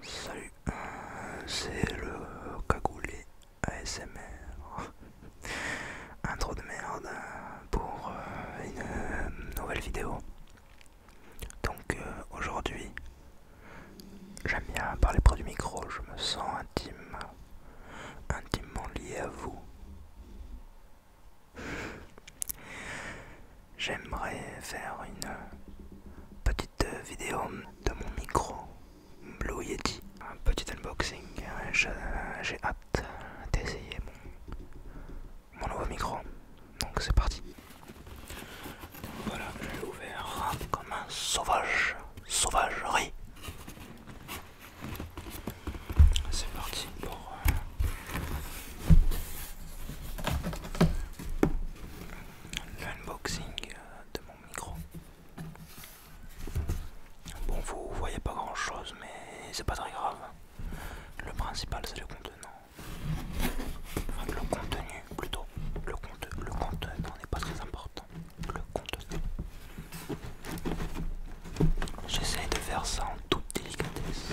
Salut, euh, c'est le cagoulé ASMR. Intro de merde euh, pour euh, une nouvelle vidéo. Donc aujourd'hui, j'aime bien parler près du micro, je me sens intime, intimement lié à vous. J'aimerais faire une petite vidéo de mon micro Blue Yeti, un petit unboxing. J'ai hâte d'essayer mon, nouveau micro. Donc c'est parti. Voilà, je ouvert comme un sauvage, sauvagerie. C'est parti pour euh, l'unboxing euh, de mon micro. Bon, vous voyez pas grand chose, mais c'est pas très grave. Le principal, c'est le contenant. Enfin, le contenu plutôt. Le, le contenant n'est pas très important. Le contenu. J'essaie de faire ça en toute délicatesse.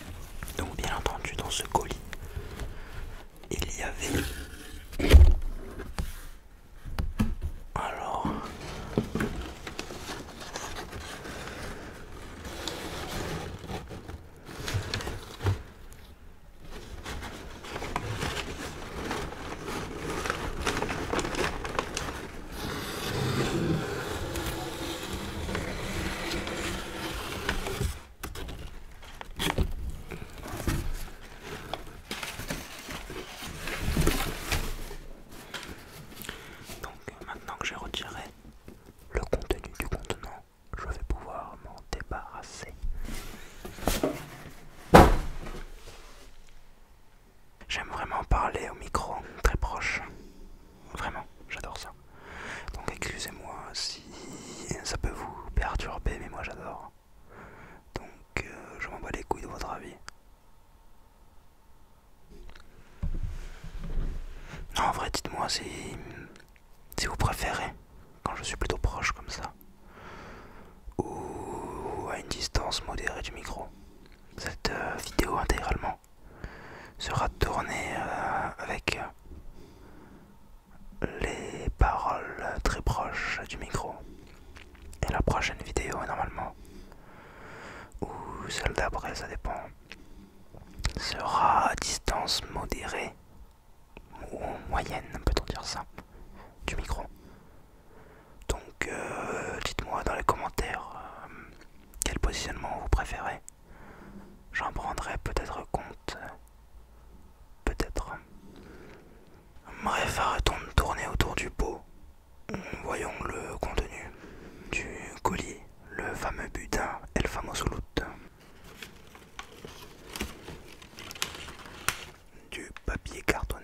Donc bien entendu dans ce colis, il y avait... Alors... Donc maintenant que j'ai retiré le contenu du contenant, je vais pouvoir m'en débarrasser. J'aime vraiment parler au micro, très proche. Vraiment, j'adore ça. Donc excusez-moi si ça peut vous perturber, mais moi j'adore. Donc euh, je m'en bats les couilles de votre avis. en vrai, dites-moi si, vous préférez quand je suis plutôt proche comme ça ou à une distance modérée du micro. Cette euh, vidéo intégralement sera tourné euh, avec euh, les paroles très proches du micro. Et la prochaine vidéo normalement, ou celle d'après, ça dépend, sera à distance modérée ou moyenne, peut-on dire ça, du micro. Donc euh, dites-moi dans les commentaires quel positionnement vous préférez. J'en prendrai peut-être compte. Peut-être. Bref, arrêtons de tourner autour du pot. Voyons le contenu du colis, le fameux budin et le fameux Du papier cartonné.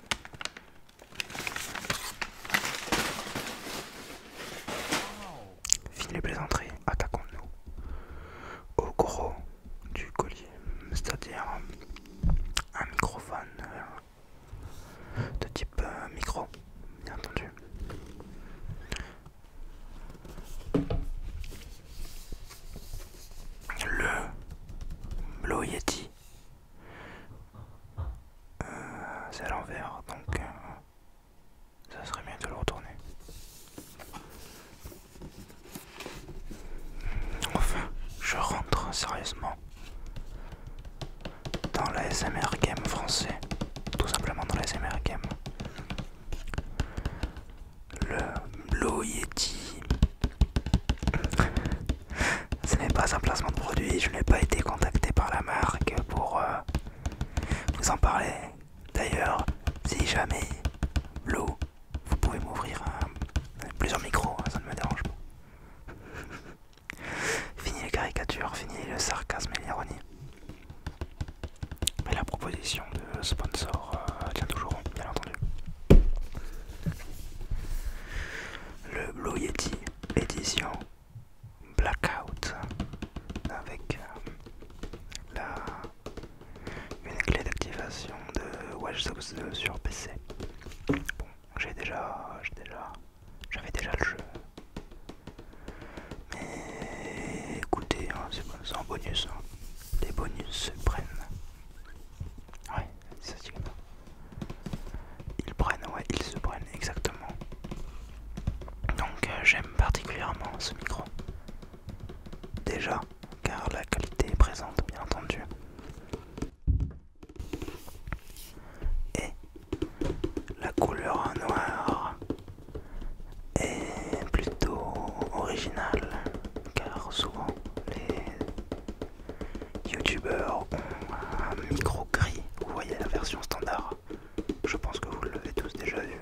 Fini les plaisanteries, attaquons-nous au gros du collier, c'est-à-dire un microphone euh, de type euh, micro, bien entendu le Blow Yeti. Euh, c'est à l'envers, donc euh, ça serait bien de le retourner. Enfin, je rentre sérieusement dans les SMR Game français, tout simplement dans les SMR Game le blue Yeti. Ce n'est pas un placement de produit, je n'ai pas été contacté par la marque pour euh, vous en parler. D'ailleurs, si jamais l'eau, vous pouvez m'ouvrir plusieurs micros, hein, ça ne me dérange pas. fini les caricatures, fini le sarcasme et l'ironie. Mais la proposition de sponsor euh, tient toujours, hein, bien entendu. Le Blue Yeti édition Blackout avec euh, la, une clé d'activation de Watch Dogs sur PC. j'ai déjà, déjà, j'avais déjà le jeu. Mais écoutez, hein, c'est en bonus. Les hein. bonus se prennent. Ouais, ils prennent, ouais, ils se prennent exactement. Donc euh, j'aime particulièrement ce micro. Déjà, car la qualité est présente, bien entendu. Et la couleur noire est plutôt originale, car souvent les youtubeurs ont un micro gris, vous voyez la version standard, je pense que vous l'avez tous déjà vu.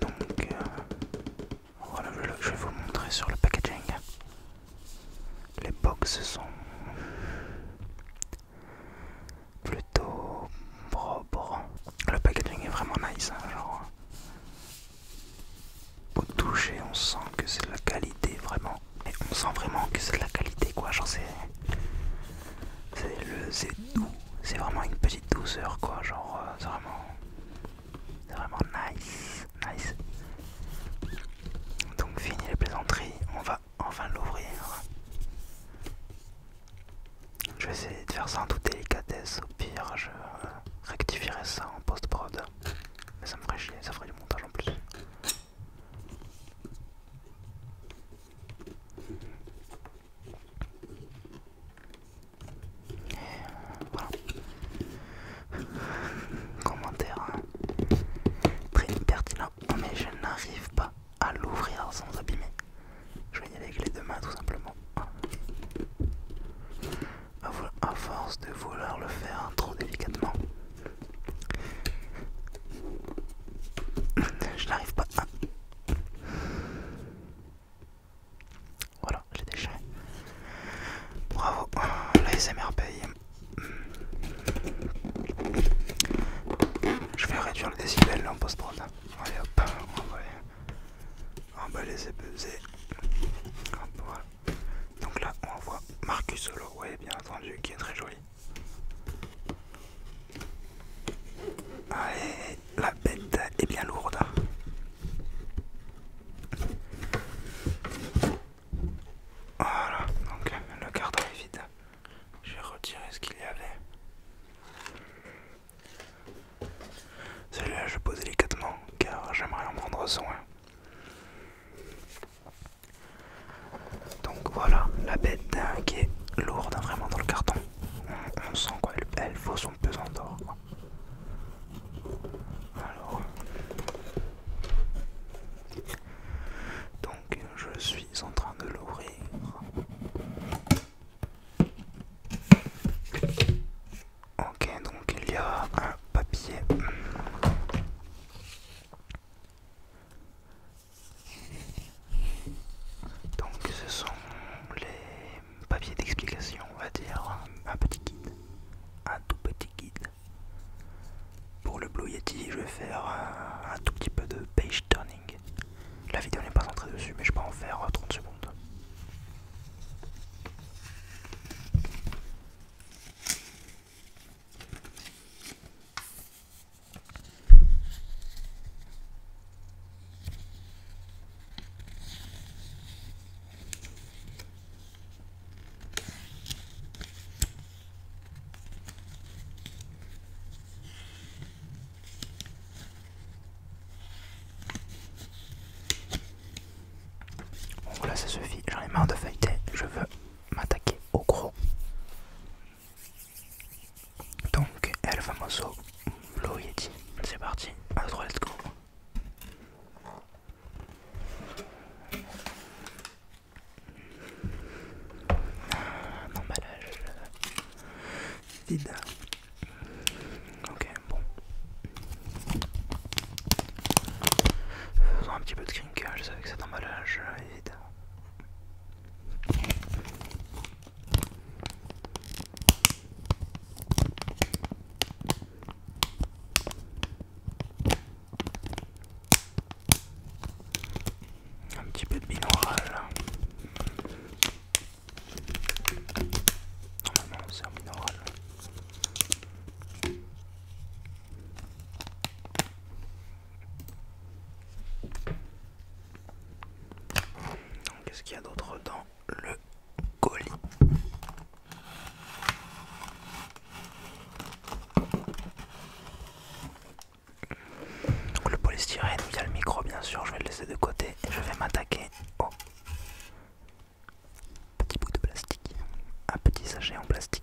Donc que euh, je vais vous montrer sur le packaging. Les box sont plutôt propres. Le packaging est vraiment nice, hein, genre pour toucher, on sent que c'est de la qualité vraiment. Mais on sent vraiment que c'est de la qualité quoi. Genre c'est. C'est doux. C'est vraiment une petite douceur quoi. Genre euh, c'est vraiment. C'est vraiment nice. Nice. Donc fini les plaisanteries. On va enfin l'ouvrir. Je vais essayer de faire ça en toute délicatesse. Au pire, je rectifierai ça en post-prod. Mais ça me ferait chier, ça ferait du montage en plus. Voilà. Commentaire hein. très pertinent, oh, mais je n'arrive pas à l'ouvrir sans abîmer. Je vais y aller avec les deux mains tout simplement. À force de vouloir le faire trop délicatement, je n'arrive pas à. Voilà, j'ai déchiré. Bravo, l'ASMR paye. Je vais réduire le décibel en post-prod. Allez hop, on va va et peser. Hop, Donc là on voit Marcus Solo, oui bien entendu qui est très joli. Allez, la bête est bien lourde. Voilà, donc le carton est vide. J'ai retiré ce qu'il y avait. Celui-là, je pose délicatement car j'aimerais en prendre soin. Donc voilà, la bête qui est lourde hein, vraiment dans le carton. On, sent quoi, elle, son pesant d'or. Alors, donc je suis en train de l'ouvrir. Ok, donc il y a un papier. Donc ce sont les papiers d'explication, on va dire. Un petit guide. Un tout petit guide. Pour le Blue Yeti, je vais faire un, tout petit peu de page turning La vidéo n'est pas entrée dessus, mais je peux en faire 30 euh, secondes. Bon voilà ça suffit, j'en ai marre de feuilleter, je veux m'attaquer au gros. Donc El Famoso Blue Yeti, c'est parti, intro let's go. Emballage ah, vide. Ok, bon. Faisons un petit peu de crinkage avec cet emballage, évident. Un petit peu de binaural. Normalement c'est un minéral. Donc qu'est-ce qu'il y a d'autre dans le colis donc le polystyrène, il y a le micro bien sûr, je vais le laisser de côté et je vais m'attaquer au petit bout de plastique, un petit sachet en plastique.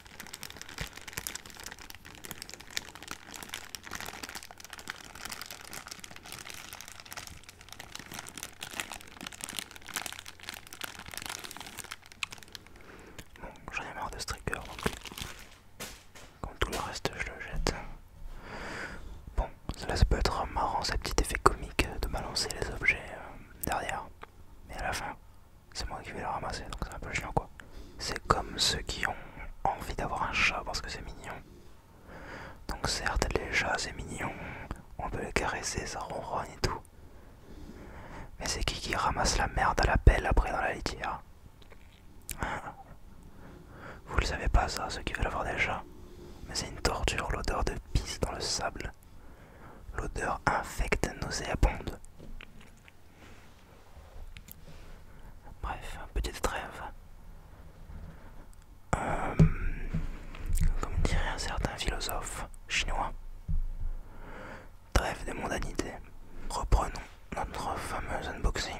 Bon, j'en ai marre de striker. trigger tout le reste je le jette. Bon, cela ça peut être marrant, ce petit effet comique de balancer les objets euh, derrière. Mais à la fin, c'est moi qui vais le ramasser, donc c'est un peu chiant quoi. C'est comme ceux qui ont envie d'avoir un chat parce que c'est mignon. Donc certes, les chats c'est mignon, on peut les caresser, ça ronronne et tout. Mais c'est qui qui ramasse la merde à la pelle après dans la litière Vous le savez pas ça, ceux qui veulent avoir des chats. Mais c'est une torture, l'odeur de pisse dans le sable. L'odeur infecte nauséabonde. Bref, petite trêve. Euh, comme dirait un certain philosophe chinois, trêve des mondanités. Reprenons notre fameux unboxing.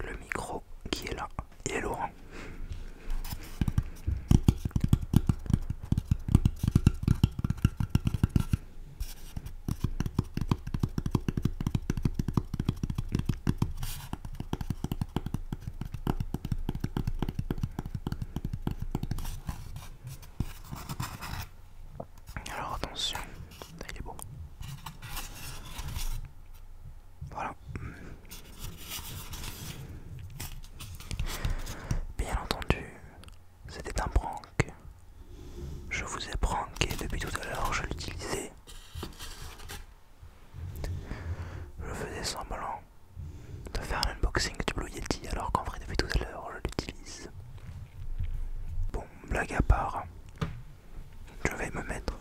Le micro qui est là, il est lourd. Hein. Alors attention, il est beau. Voilà. Bien entendu, c'était un prank. Je vous ai pranké depuis tout à l'heure, je l'utilisais. Je faisais semblant de faire un unboxing du Blue Yeti alors qu'en vrai depuis tout à l'heure je l'utilise. Bon, blague à part, je vais me mettre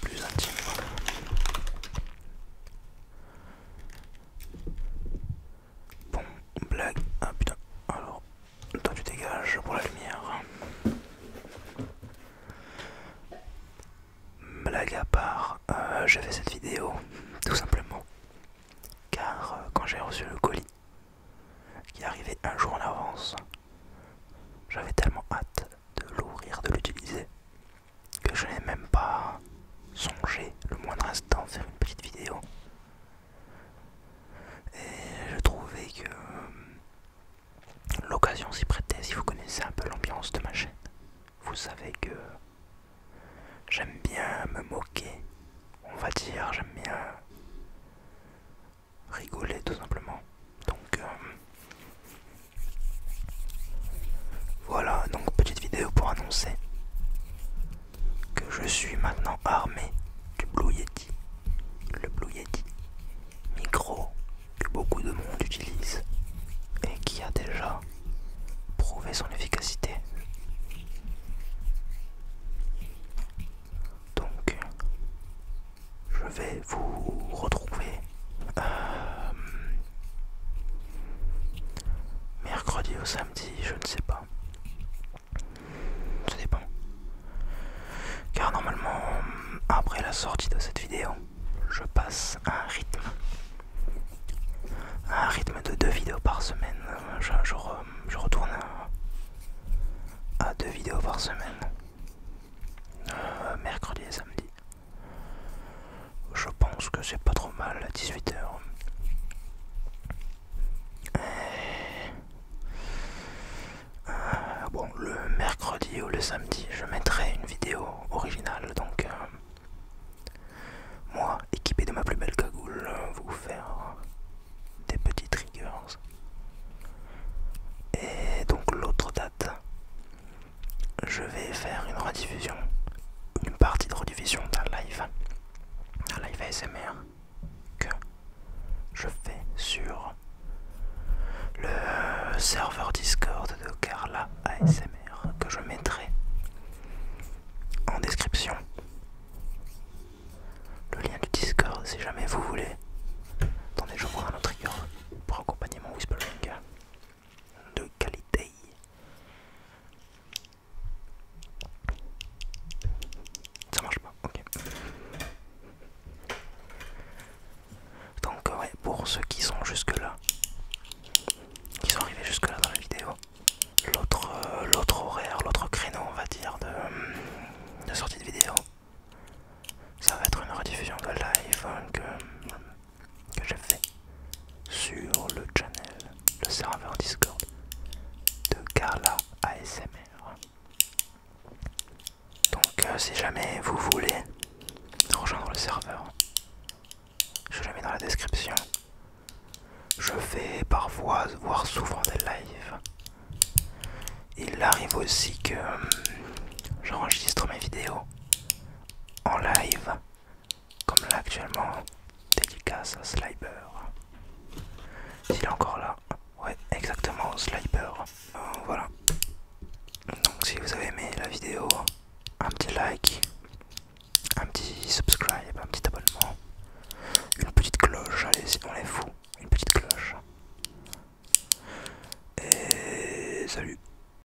plus intime. Bon, blague. Ah putain. Alors, toi tu dégages pour la lumière. Blague à part, euh, j'ai fait cette vidéo tout simplement. Car euh, quand j'ai reçu le colis qui arrivait un jour en avance, j'avais tellement hâte de l'ouvrir, de l'utiliser, que je n'ai même pas songé le moindre instant faire une petite vidéo. Et je trouvais que euh, l'occasion s'y prêtait. Si vous connaissez un peu l'ambiance de ma chaîne, vous savez que j'aime bien me moquer, on va dire, j'aime bien rigoler tout simplement. Donc euh, voilà, donc petite vidéo pour annoncer que je suis maintenant armé du Blue Yeti. Le Blue Yeti, micro que beaucoup de monde utilise et qui a déjà prouvé son efficacité. Donc, je vais vous retrouver euh, mercredi au samedi, je ne sais pas. Ça dépend. Car normalement, après la sortie de cette vidéo, je passe à un rythme. un rythme de deux vidéos par semaine. Je, retourne à, deux vidéos par semaine. Euh, mercredi et samedi. Je pense que c'est pas trop mal à 18h. Euh, bon, le mercredi ou le samedi, je mettrai une vidéo originale. Donc, euh, moi, équipé de ma plus belle cagoule, vous faire des petits triggers. Et donc, l'autre date, je vais faire une rediffusion, une partie de rediffusion d'un live, un live ASMR que je fais sur le serveur Discord de Carla ASMR que je mettrai en description. Le lien du Discord si jamais vous voulez. Attendez, je prends un autre trigger pour accompagner mon whispering de qualité. Ça marche pas, ok. Donc ouais, pour ceux qui sont jusque là, qui sont arrivés jusque là dans la vidéo, l'autre euh, l'autre horaire, l'autre créneau on va dire de, sortie de vidéo, ça va être une rediffusion de live que j'ai fait sur le channel, le serveur Discord de Carla ASMR. Donc euh, si jamais vous voulez rejoindre le serveur, je le mets dans la description. Je fais parfois, voire souvent des lives. Il arrive aussi que euh, j'enregistre mes vidéos en live comme là actuellement, dédicace à Il est encore là, ouais, exactement, Sliber. Euh, voilà. Donc si vous avez aimé la vidéo, un petit like, un petit subscribe, un petit abonnement, une petite cloche, allez, on est fou, une petite cloche. Et salut